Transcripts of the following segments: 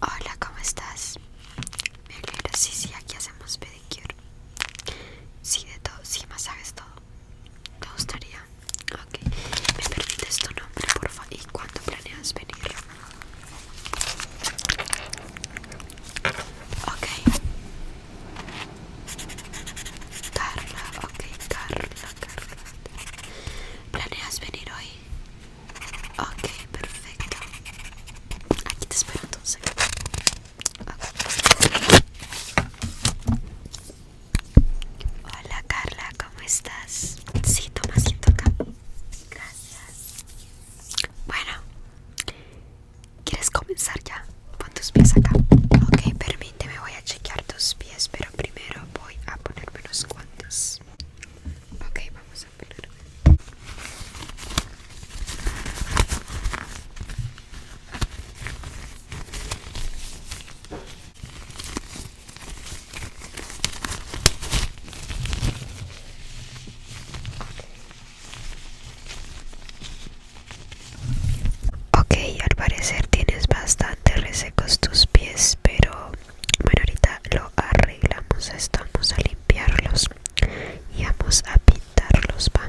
Hola, ¿cómo estás? Me alegro, sí, sí, aquí hacemos pedicure Sí, de todo, sí, masajes, todo ¿Te gustaría? Ok, ¿me permites tu nombre, por favor? ¿Y cuándo planeas venir? Ok Carla, ok, Carla, Carla ¿Planeas venir hoy? Ok, perfecto. Aquí te espero entonces. Hola Carla, ¿cómo estás? Sí, toma asiento acá. Gracias. Bueno, ¿quieres comenzar ya? Pon tus pies acá. Ok, permíteme, voy a chequear tus pies, pero primero voy a ponerme los guantes. Ok, vamos a Ok, al parecer tienes bastante resecos tus pies, pero bueno, ahorita lo arreglamos Estamos a limpiarlos y vamos a pintarlos, Van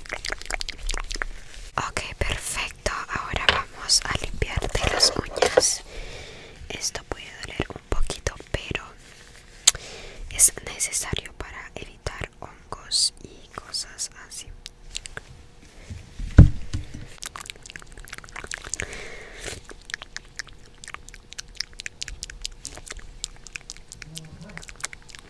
Ok, perfecto. Ahora vamos a limpiarte las uñas. Esto puede doler un poquito, pero es necesario para evitar hongos y cosas así.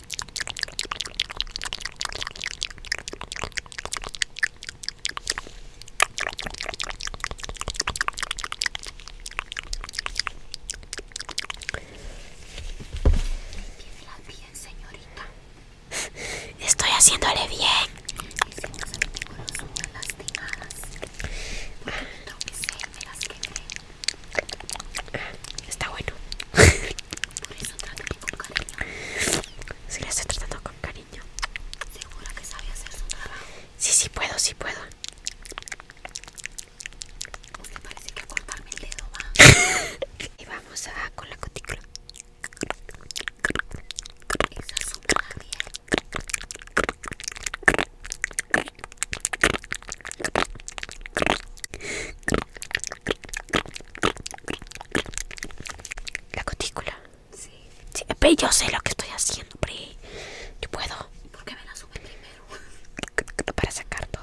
Mantívela bien, señorita. Estoy haciéndole bien. Y si no se me figuran son lastimadas. Porque tengo que ser, me las quemé. Está bueno. Por eso trátame con cariño. Si la estoy tratando con cariño. Seguro que sabe hacer su trabajo. Sí, sí puedo, sí puedo. Me parece que cortarme el dedo va. y vamos a con la cutícula. Esa es una la cutícula. Sí. sí. Ve, yo sé lo que estoy haciendo, pero Yo puedo. ¿Por qué me la sube primero? Para sacar todo.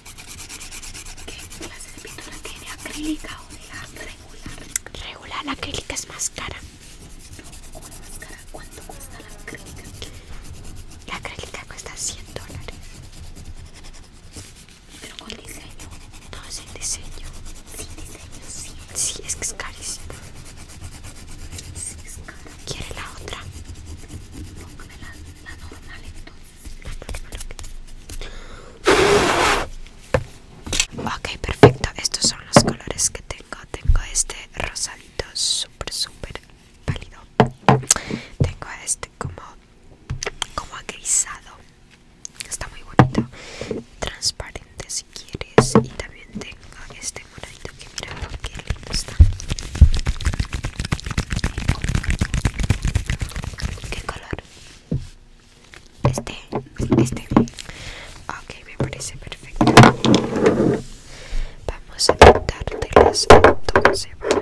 ¿Qué clase de pintura tiene? ¿Acrílica o regular? Regular, la acrílica es más cara. cara. ¿Cuánto cuesta la acrílica? La acrílica cuesta 100 dólares. ¿Pero con diseño? No, sin diseño. Sin diseño, sí. es que es carísimo. Sí, es caro. ¿Quiere la otra? Póngame la, la normal todo Ok, perfecto. Estos son los colores que tengo. Tengo este rosadito Super súper pálido. Tengo este como, como agrisado. Está muy bonito. Transparente si quieres. Y también tengo este moradito que mira, que ¿Qué color? Este, este Ok, me parece perfecto Vamos a pintártelas entonces ¿vale?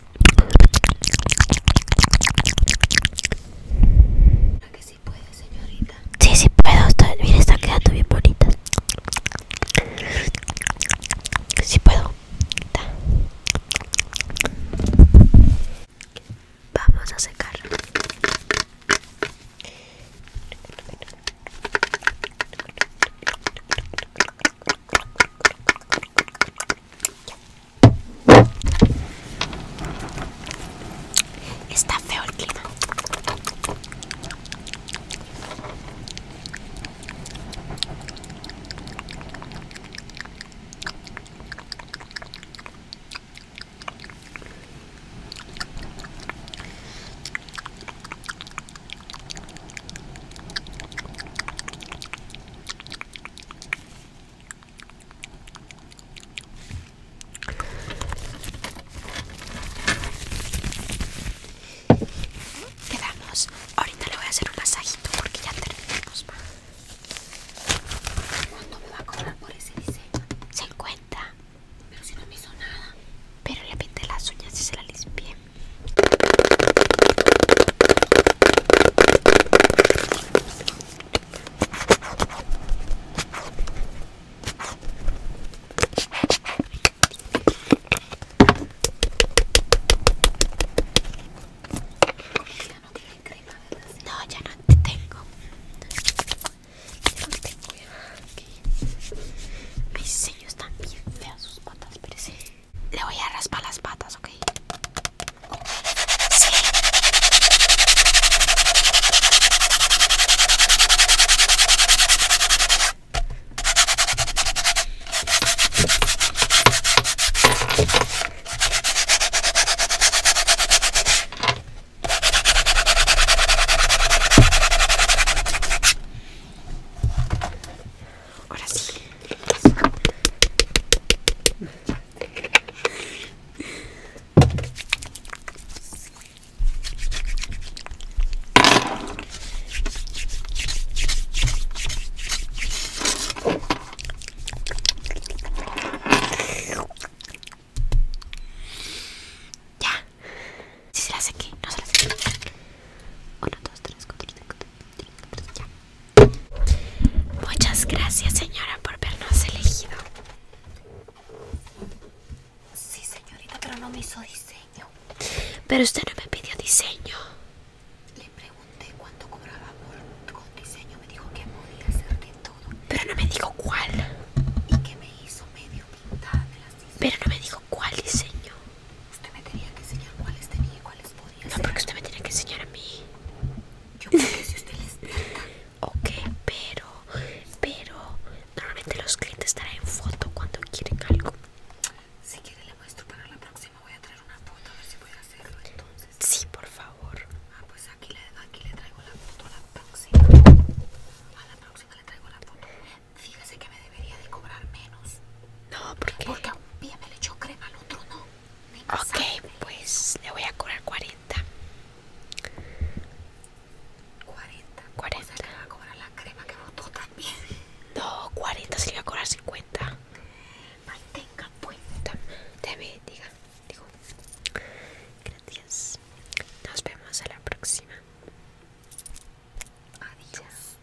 que sí puede, señorita? Sí, sí puedo. Está, mira, está quedando bien bonita. Sí puedo. Vamos a secar. Está feo el clima. Quedamos. Ahorita le voy a hacer un masajito porque ya terminamos. ¿Cuánto me va a cobrar por ese diseño? 50. Pero si no me hizo nada. Pero le pinté las uñas y se las limpié no ya No, ya tengo. Ya no tengo. Mis están bien sus patas, le voy a raspar las patas, ¿ok? Ahora sí. Ya. Si se la sequé, no se la sequé 1, 2, tres, cuatro, Muchas gracias, señora, por vernos elegido. Sí, señorita, pero no me hizo diseño. Pero usted no me pidió diseño. Le pregunté cuánto cobraba por con diseño. Me dijo que podía hacer de todo. Pero no me dijo cuál. Y que me hizo medio pintada de las Pero no me dijo cuál diseño. Usted me tenía que enseñar cuáles tenía y cuáles podía. No, porque usted me tiene que enseñar a mí. Yo creo que si usted les da. Ok, pero, pero normalmente los clientes en foto cuando quieren algo. Si quiere le muestro para la próxima voy a traer una foto a ver si puedo hacerlo entonces. Sí, por favor. Ah, pues aquí le, aquí le traigo la foto a la próxima. A la próxima le traigo la foto. Fíjese que me debería de cobrar menos. No, porque a un día me le echó crema, al otro no. Ok, pues le voy a cobrar 40. 40. 40. que le va a cobrar la crema que votó también. No, 40 se le va a cobrar 50. Mantenga pues. Te Déjame, diga, digo. Gracias. Nos vemos a la próxima. Adiós.